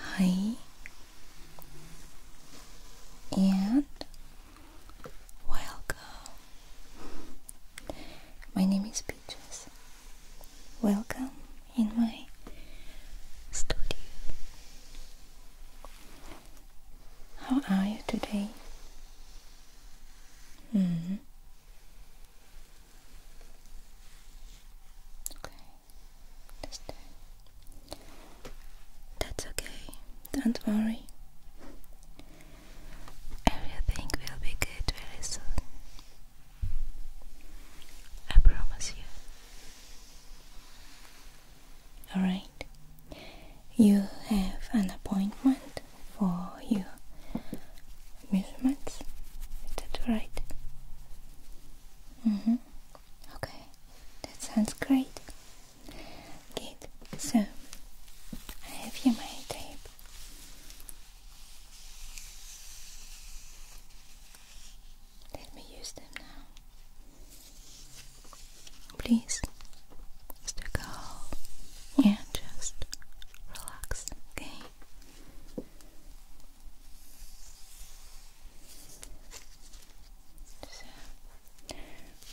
Hi. And welcome. My name is Peaches. Welcome in my studio. How are you today? -hmm. Okay, That's okay, don't worry. Everything will be good very soon. I promise you. Alright, you have an appointment for your measurements. Is that right? Mm-hmm. Okay, that sounds great. Good. So I have here my tape. Let me use them now please is go and just relax, okay? So,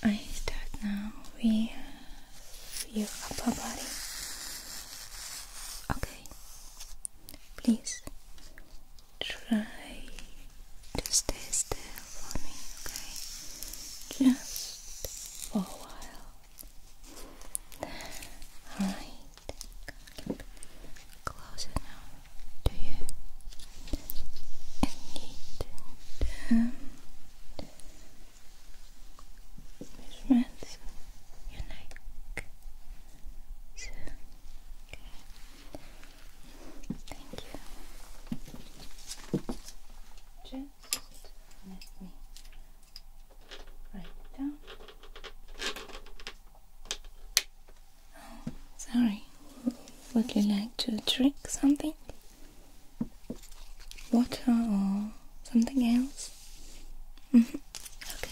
I start now with your upper body. Okay, please try to stay still for me, okay? Just rest for a while. Alright, closer now to you. need um, measurements your neck. So, okay. Thank you. Let me write down. sorry, would you like to drink something? Water or something else? Mm-hmm. Okay.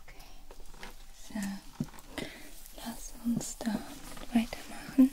Okay. So, lass uns dann weitermachen mit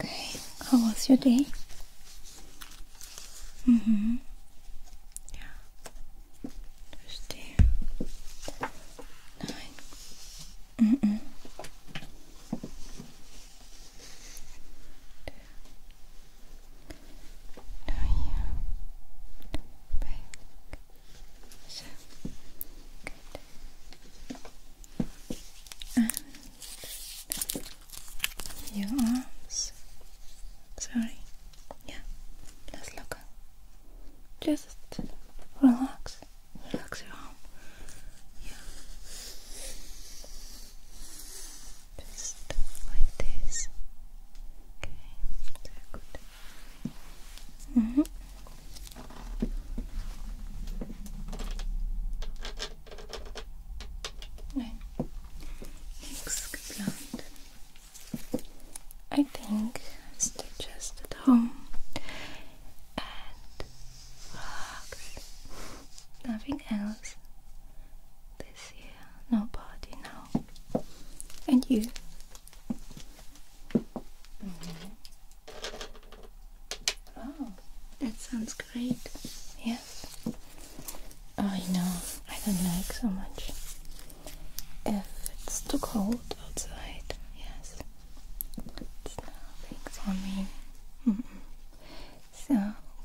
Okay, how was your day? Mm-hmm. Yeah. Thursday. Nine. Mm-mm. Now your arms. Sorry. Yeah. Let's look Just relax. Relax your arm. Just like this. Okay, sehr gut. Mhm. Nein, I think I just at home and Nothing else. This here, nobody now. And you. Mm-hmm. Oh, that sounds great. Yes. I know, I don't like so much. If it's too cold outside, yes. It's nothing for me. So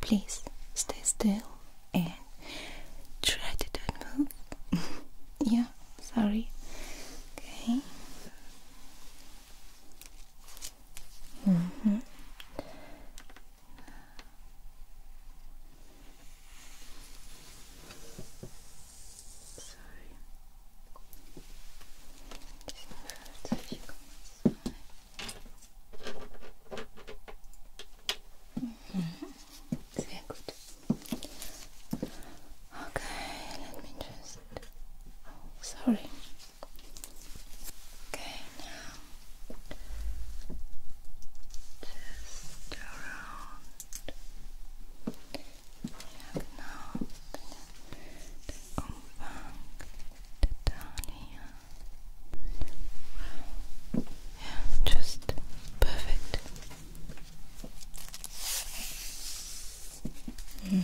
please stay still and try to don't move. yeah, sorry. Okay. Mm-hmm. Mhm. Sehr Okay, let me just. Oh, sorry. Okay, now just around. Yeah, now. Yeah, just perfect. Mm-hmm.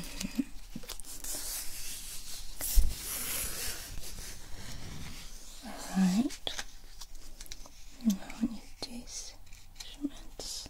Alright. Now I need these measurements.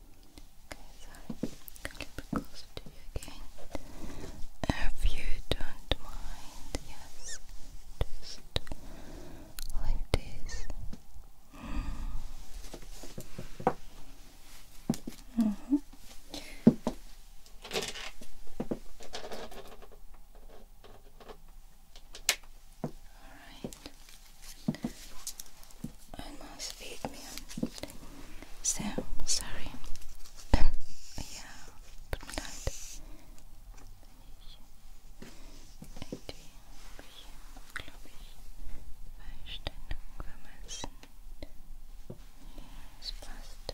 Okay, sorry. Come a closer to you again. If you don't mind, yes. Just like this. All right and must feed me. So sorry. yeah, but not. Irgendwie habe ich Verstellung vermessen. Ja, es passt.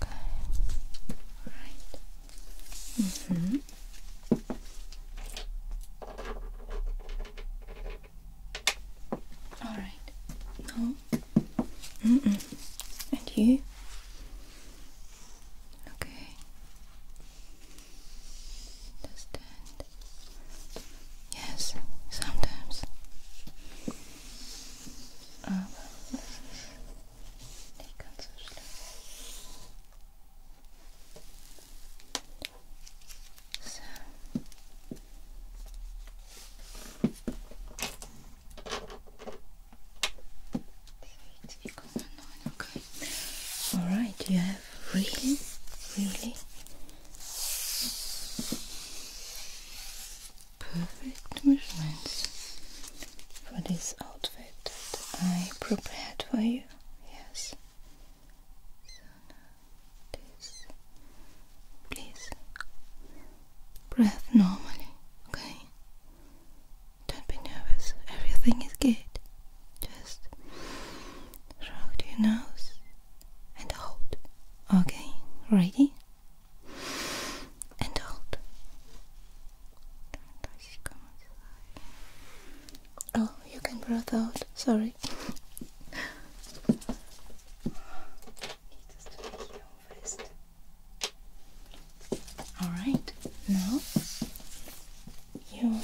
Okay. Right. Mhm. All right. No. Mm And you? Okay. Understand. Yes, sometimes. Aber das ist nicht ganz so schlimm. All right. You have really, really perfect measurements for this outfit that I prepared for you. Yes notice. Please breathe normally, okay? Don't be nervous. Everything is good. Just shrug your nose and hold. Okay, ready? And hold. Oh, you can breathe out. Sorry. All right. Now you.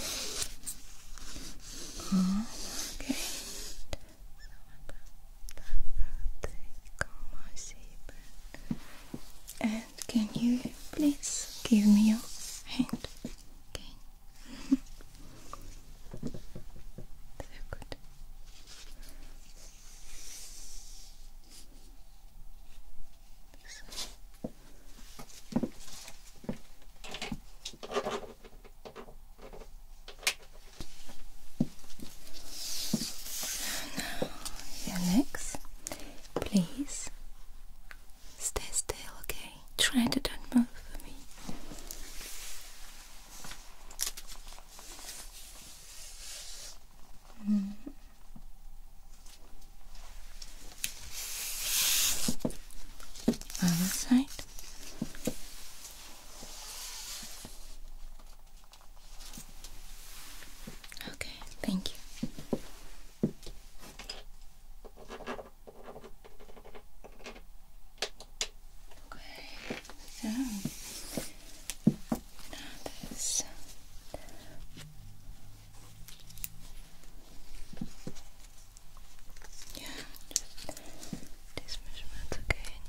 Okay. And can you please give me your hand? Okay. Sehr gut. So now your please stay still, okay? try to don't move for me. Hmm. Other side. Okay, thank you. Okay, so now this yeah, these measurements again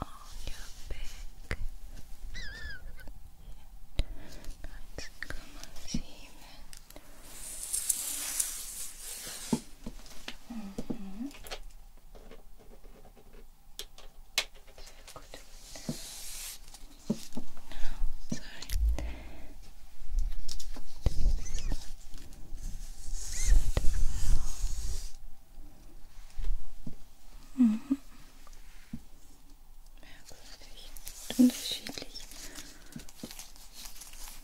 on your back. let Mhm. Sehr gut. No, sorry. Mhm. Merkwürdig und unterschiedlich.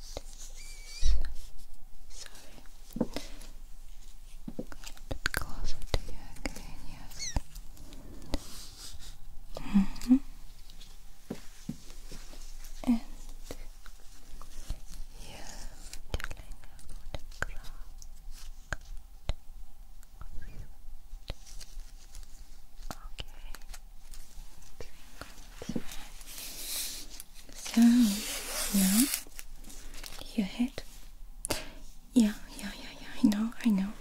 Sorry. A little bit closer to you again, yes. Mm -hmm. And you're telling about the crack. Crack. Okay. So now your head. Yeah, yeah, yeah, yeah. I know, I know.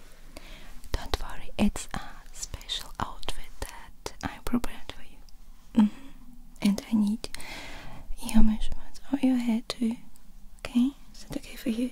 Don't worry, it's a special outfit that I prepared for you. Mm-hmm. And I need your measurements on your head too. Okay, is that okay for you?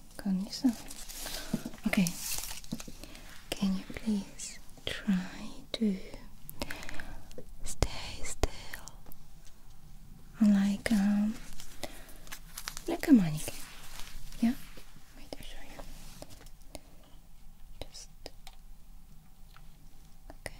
condition. Okay, can you please try to stay still, like um, like a mannequin? Yeah. Just okay.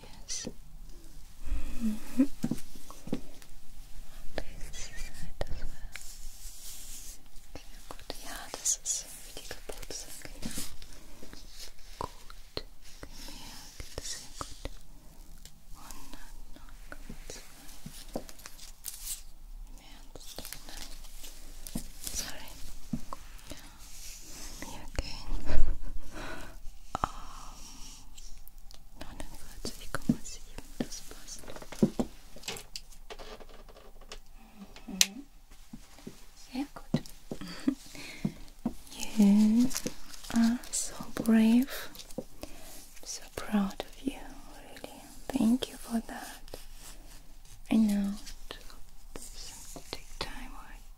Yes. Mm -hmm. This side as well. Sehr gut. Ja, das ist wie die Geburtstag, genau. Gut. Gemerkt. Sehr gut. Sorry me again. Um, mm-hmm. you are so brave. So proud of you, really. Thank you for that. I know take time,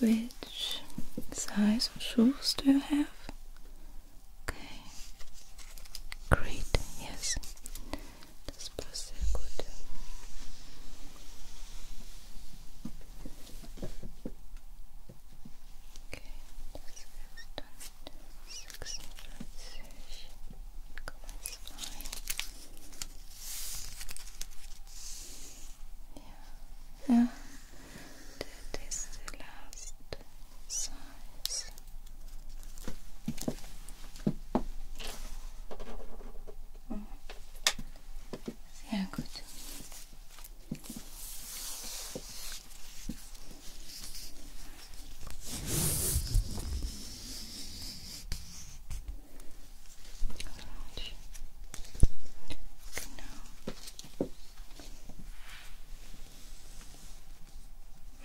Which size shoes do you have? Okay, great, yes, das passt sehr Okay, das ist dann yeah. That is the last size. Mm. Yeah, good.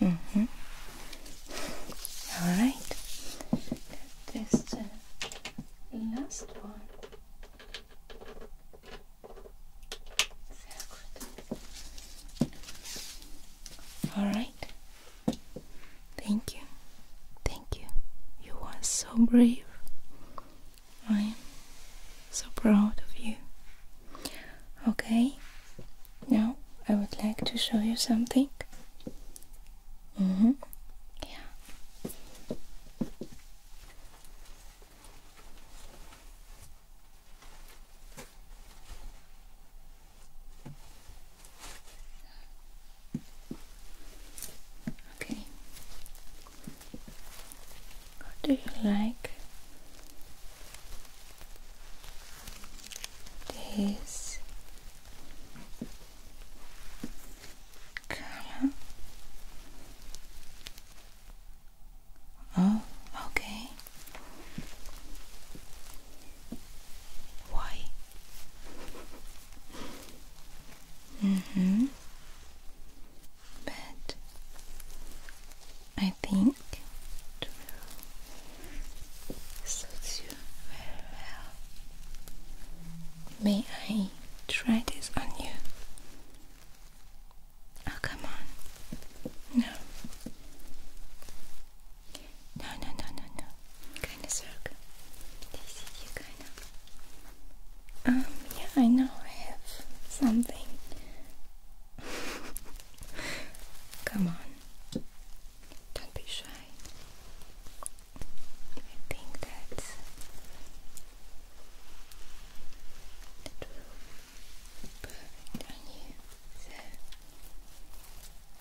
Alright. -hmm. Alright. That is last one. Alright. Thank you. Thank you. You were so brave. I am so proud of you. Okay, now I would like to show you something. Mm -hmm. Yeah. Okay. What do you like? This color. Oh, okay. Why? Mm-hmm. But I think it will you very well. May I try this on you? Oh, come on. No. No, no, no, no, no. Kind of circle. This is kind of. Um, yeah, I know I have something. Come on. Don't be shy. I think that that will be perfect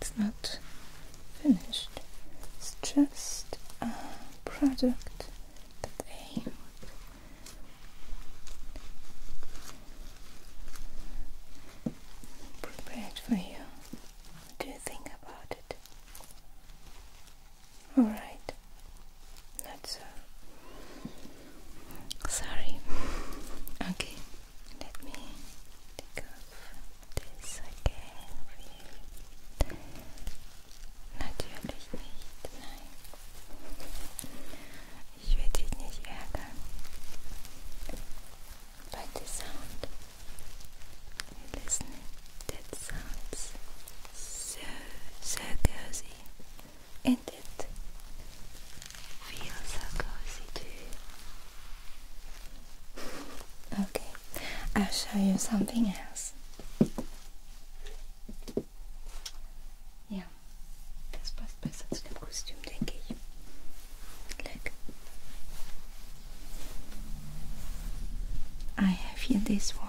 It's not finished. It's just a product that I prepared for you. What do you think about it? Alright, that's all. Sorry. okay, let me take off this again. natürlich nicht, nein. Ich werde dich nicht ärgern. But the sound, you listen, that sounds so, so cozy and it feels so cozy too. Okay, I'll show you something else. Ja, das passt besser Look. I have here this one.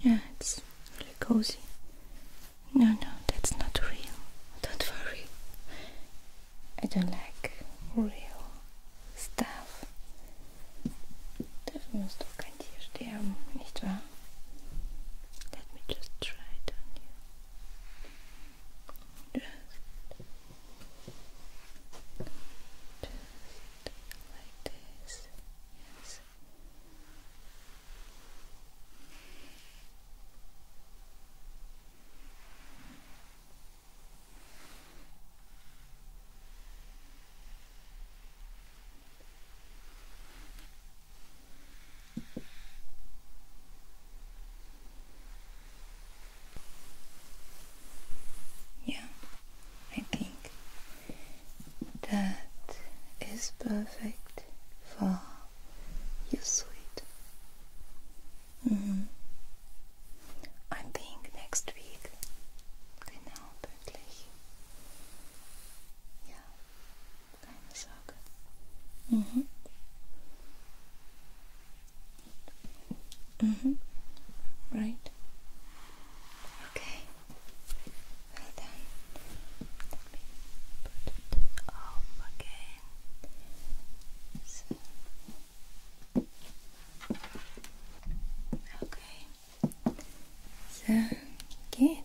Yeah, it's really cozy. No, no, that's not real. Don't worry. I don't like real stuff. Das musst du kein Tier sterben, nicht wahr? Let me just try it on you. Just, just like this. Yes eyes. Yeah, I think that is perfect for you, sweet. Mm-hmm. I think next week. Genau, pünktlich. Ja, keine Sorge. Mhm. Mhm. Right. Okay. Well then, let me put it up again. So. Okay. So good.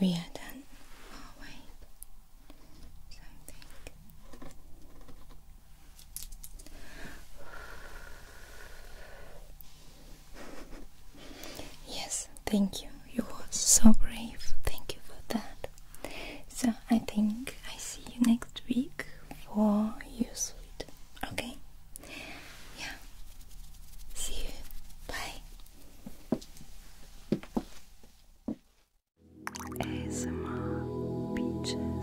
We are done. Oh wait. Something yes, thank you. You were so brave. Thank you for that. So I think I see you next week for your suite. Okay? Yeah. See you. Bye.